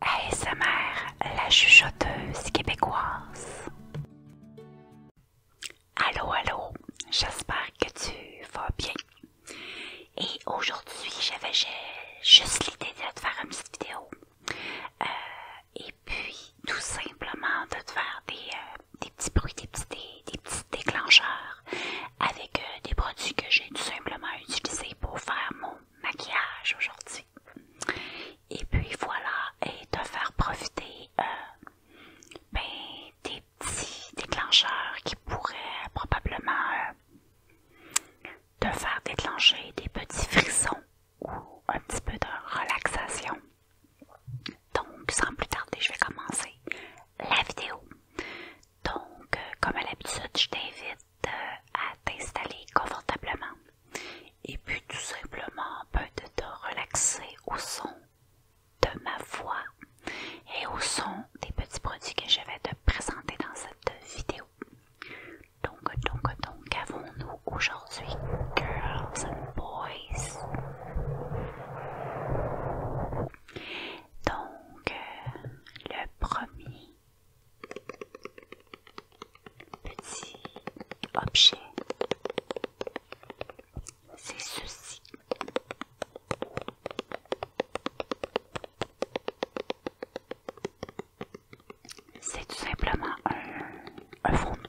ASMR, la chuchoteuse québécoise. Allô, allô, j'espère que tu vas bien. Et aujourd'hui, j'avais juste l'idée de te faire une petite vidéo. Euh, et puis, tout simplement, de te faire des, euh, petits bruits, des petits, déclencheurs avec euh, des produits que j'ai tout simplement utilisés pour faire mon maquillage aujourd'hui. Et puis voilà, et te faire profiter euh, ben, des petits déclencheurs qui pourraient probablement euh, te faire déclencher des petits frissons ou un petit peu de relaxation. Donc, sans plus tarder, je vais commencer la vidéo. Donc, euh, comme à l'habitude, je t'invite à t'installer confortablement et puis tout simplement peu de te relaxer au son de ma voix et au son des petits produits que je vais te présenter dans cette vidéo. Donc, donc, donc, avons-nous aujourd'hui Girls and Boys? Donc, euh, le premier petit objet, c'est ceci. C'est tout simplement un, fond de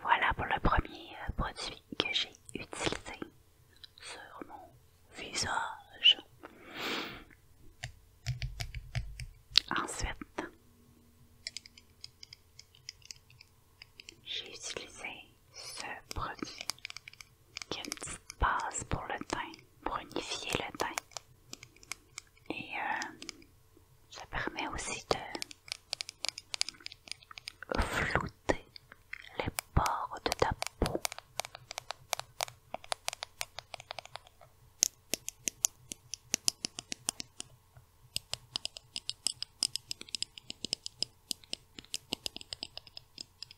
Voilà pour le premier euh, produit que j'ai utilisé sur mon visage. Ensuite, j'ai utilisé ce produit qui a une petite base pour le teint, pour unifier le teint. Et euh, ça permet aussi de flouter les bords de ta peau.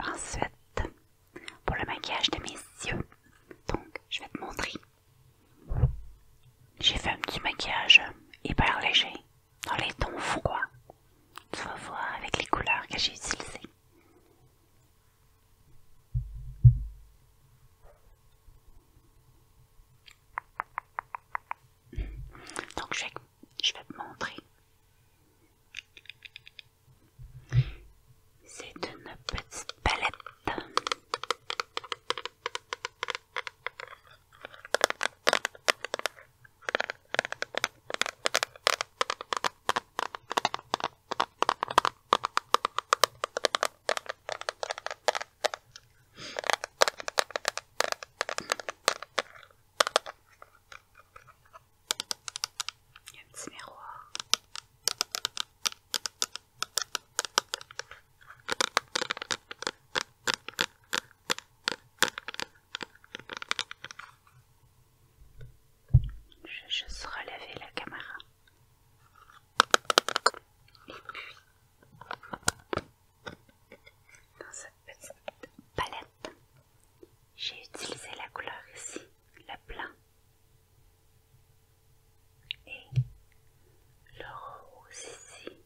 Ensuite, pour le maquillage de mes yeux, donc je vais te montrer. J'ai fait un petit maquillage hyper léger dans les tons froids. Tu vas voir avec les couleurs que j'ai utilisées. Donc je vais, te montrer. C'est une petite palette. Il y a un petit miroir. Je vais juste relever la caméra et puis dans cette petite palette, j'ai utilisé la couleur ici, le blanc et le rose ici.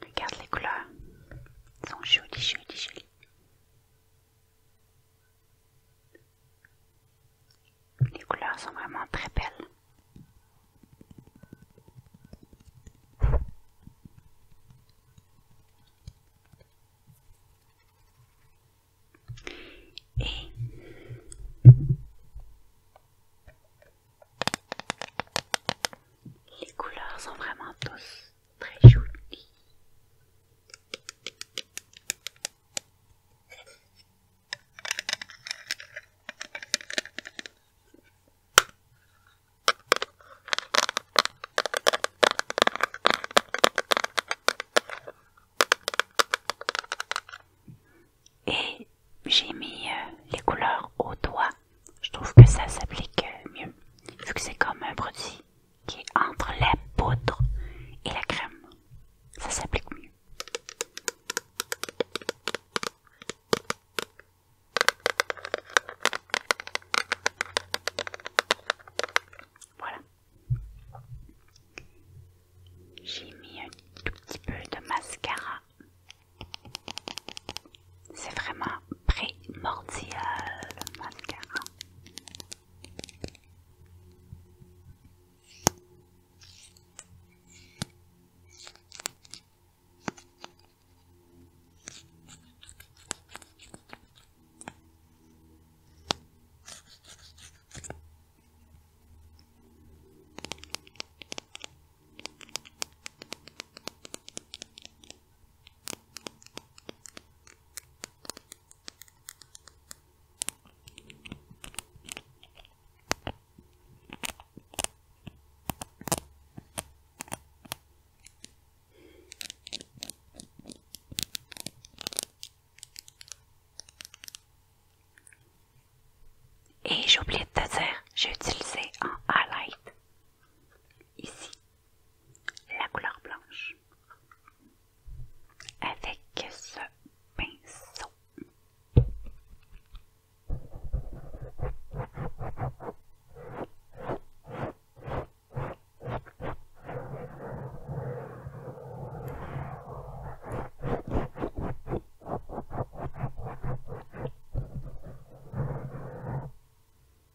Regarde les couleurs. Elles sont jolies, jolies, jolies. Les couleurs sont vraiment très belles. Et les couleurs sont vraiment douces. Très joli. Et j'ai mis euh, les couleurs au doigt je trouve que ça s'applique euh, mieux, vu que c'est comme un produit qui est entre la poudre et la crème. Ça s'applique mieux. Voilà. J'ai mis un tout petit peu de mascara c'est vraiment primordial, le et j'ai oublié de te dire, j'ai utilisé un highlight ici la couleur blanche avec ce pinceau.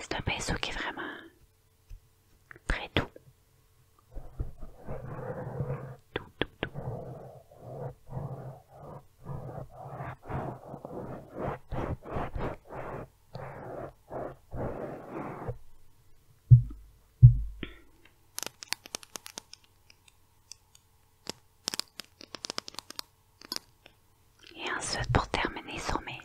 C'est un pinceau qui est vraiment très doux. doux. Et ensuite pour terminer sur mes lèvres.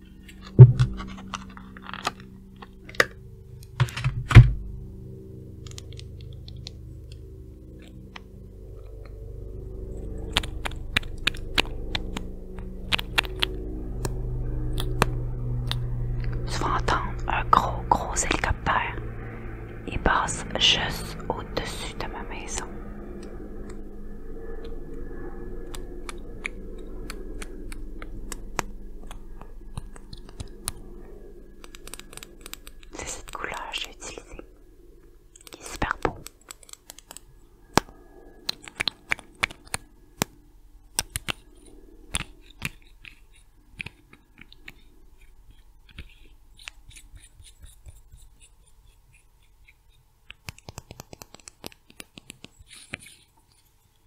Tu vas entendre un gros, gros hélicoptère. Il passe juste au-dessus de ma maison. C'est cette couleur que j'ai utilisée, qui est super beau.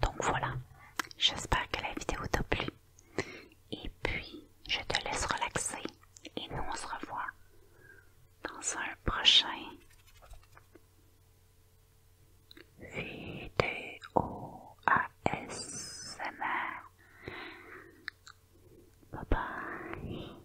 Donc voilà, j'espère que la vidéo t'a plu. Et puis, je te laisse relaxer. Et nous, on se revoit dans un prochain vidéo ASMR. Bye bye.